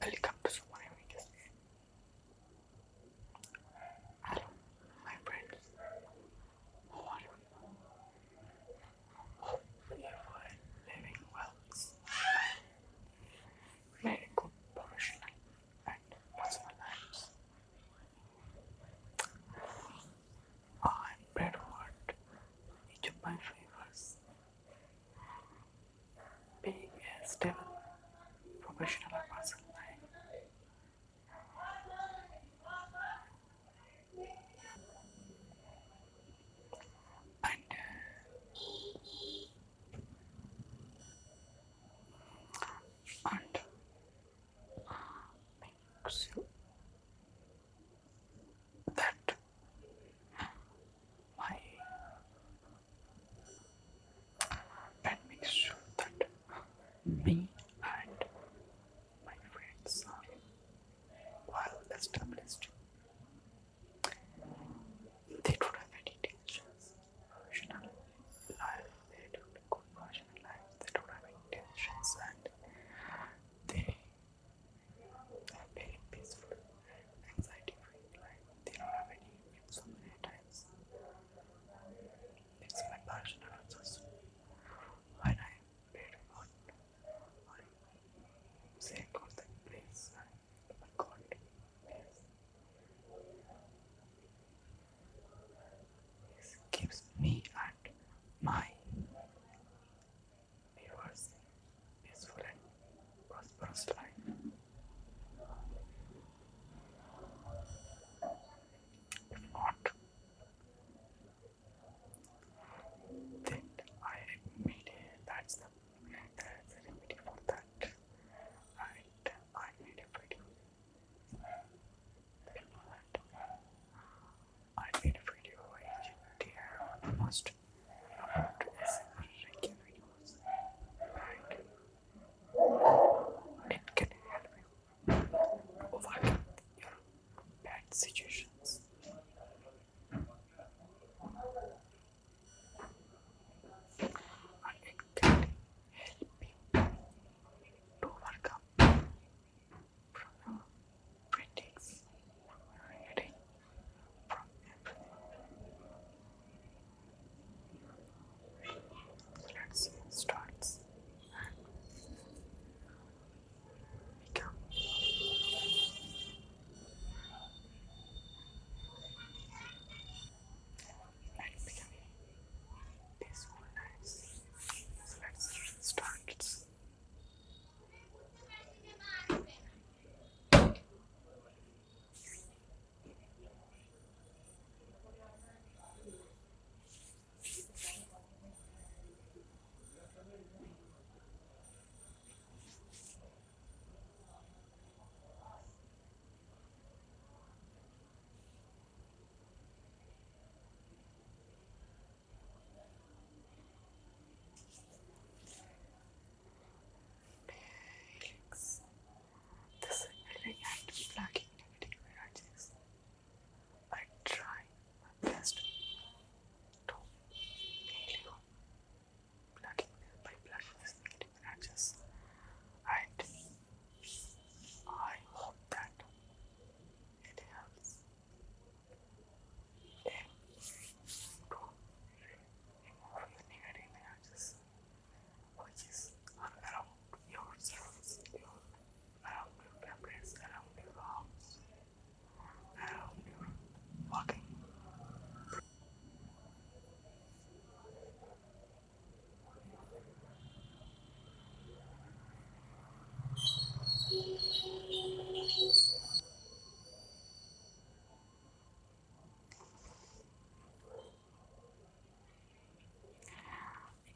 Welcome to Summer Amicus. Hello, my friends. How are you? Hope you are living well. Very good professional and personal lives. I Bedford each of my favors. Being a stable professional person and and uh, makes you that my that makes sure that me and my friends are well established. They don't have any tensions, emotional life, they don't have good intention lives, they don't have intentions and they are very peaceful anxiety free life. They don't have any needs so many my personal answers. When I pray to God, I say God that please, but God keeps me at my viewers peaceful and prosperous life. If not, then I admit that's the, remedy for that, and I made a video I made a video in there on the last about Reykjavik was can help you overcome your bad situations. And can help you overcome from critics, reading from everything. Let's start and become. Let become this one let's start. Legs. This feeling and lacking negative energies. I try my best to heal you, plugging by plugging and I hope that it helps them to remove the negative energies which is around yourselves, your, around your parents, around your house, around your walking. It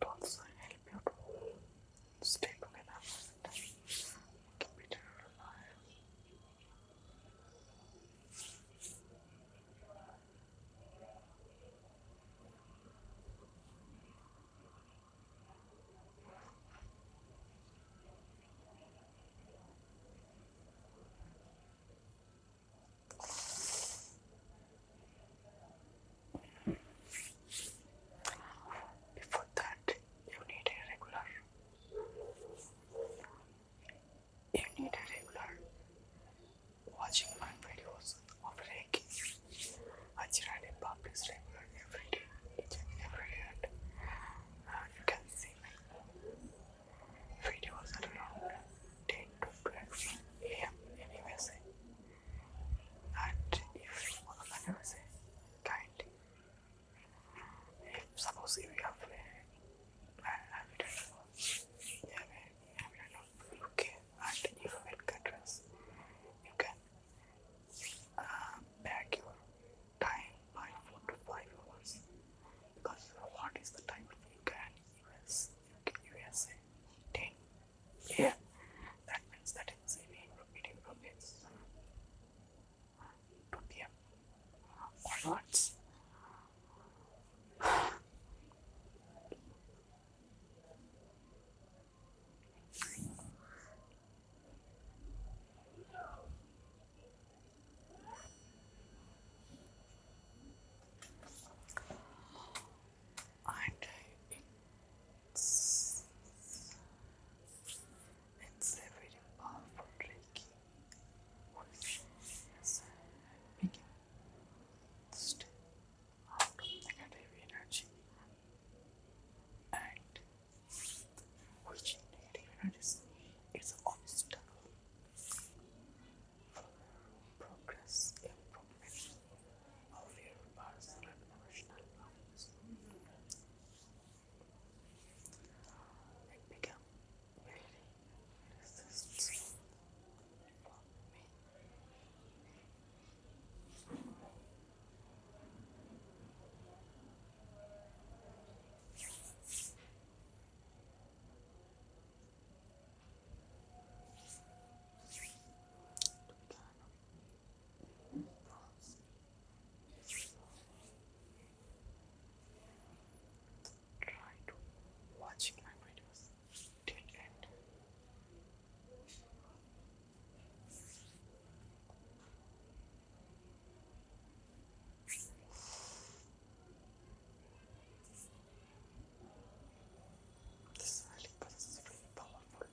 also help you to stay together and keep each other alive. Before that, you need a regular. You need a regular watching my videos hours of raking. Ajran in Bob is regular every day, each and every year. And you can see my videos at around 10 to 12 am in USA. And if you want to USA, kindly. If suppose if you have a habitat, you have a habitat of UK and European countries, you can uh, back your time by 4 to 5 hours because what is the time of US, USA? 10 yeah that means that is in repeating from this to PM onwards and it's, it's a very powerful trick which is making this negative energy and which negative energy is obstacle progress improvement of your personal and lives. It became very resistant for me. Try to watch my videos till end. This really process is very powerful,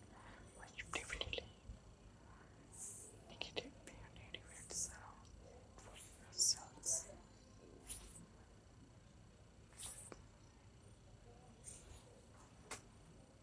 which definitely negative and negative events around for yourselves.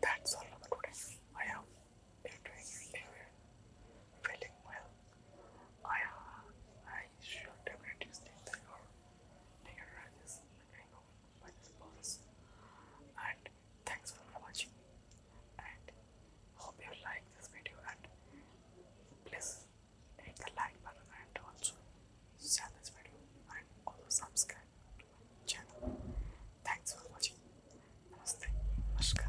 That's all for today. I am doing very well. I, uh, I should definitely state that your is kind of by this process. And thanks for watching. And hope you like this video. And please hit the like button and also share this video and also subscribe to my channel. Thanks for watching. Namaste. Namaskar.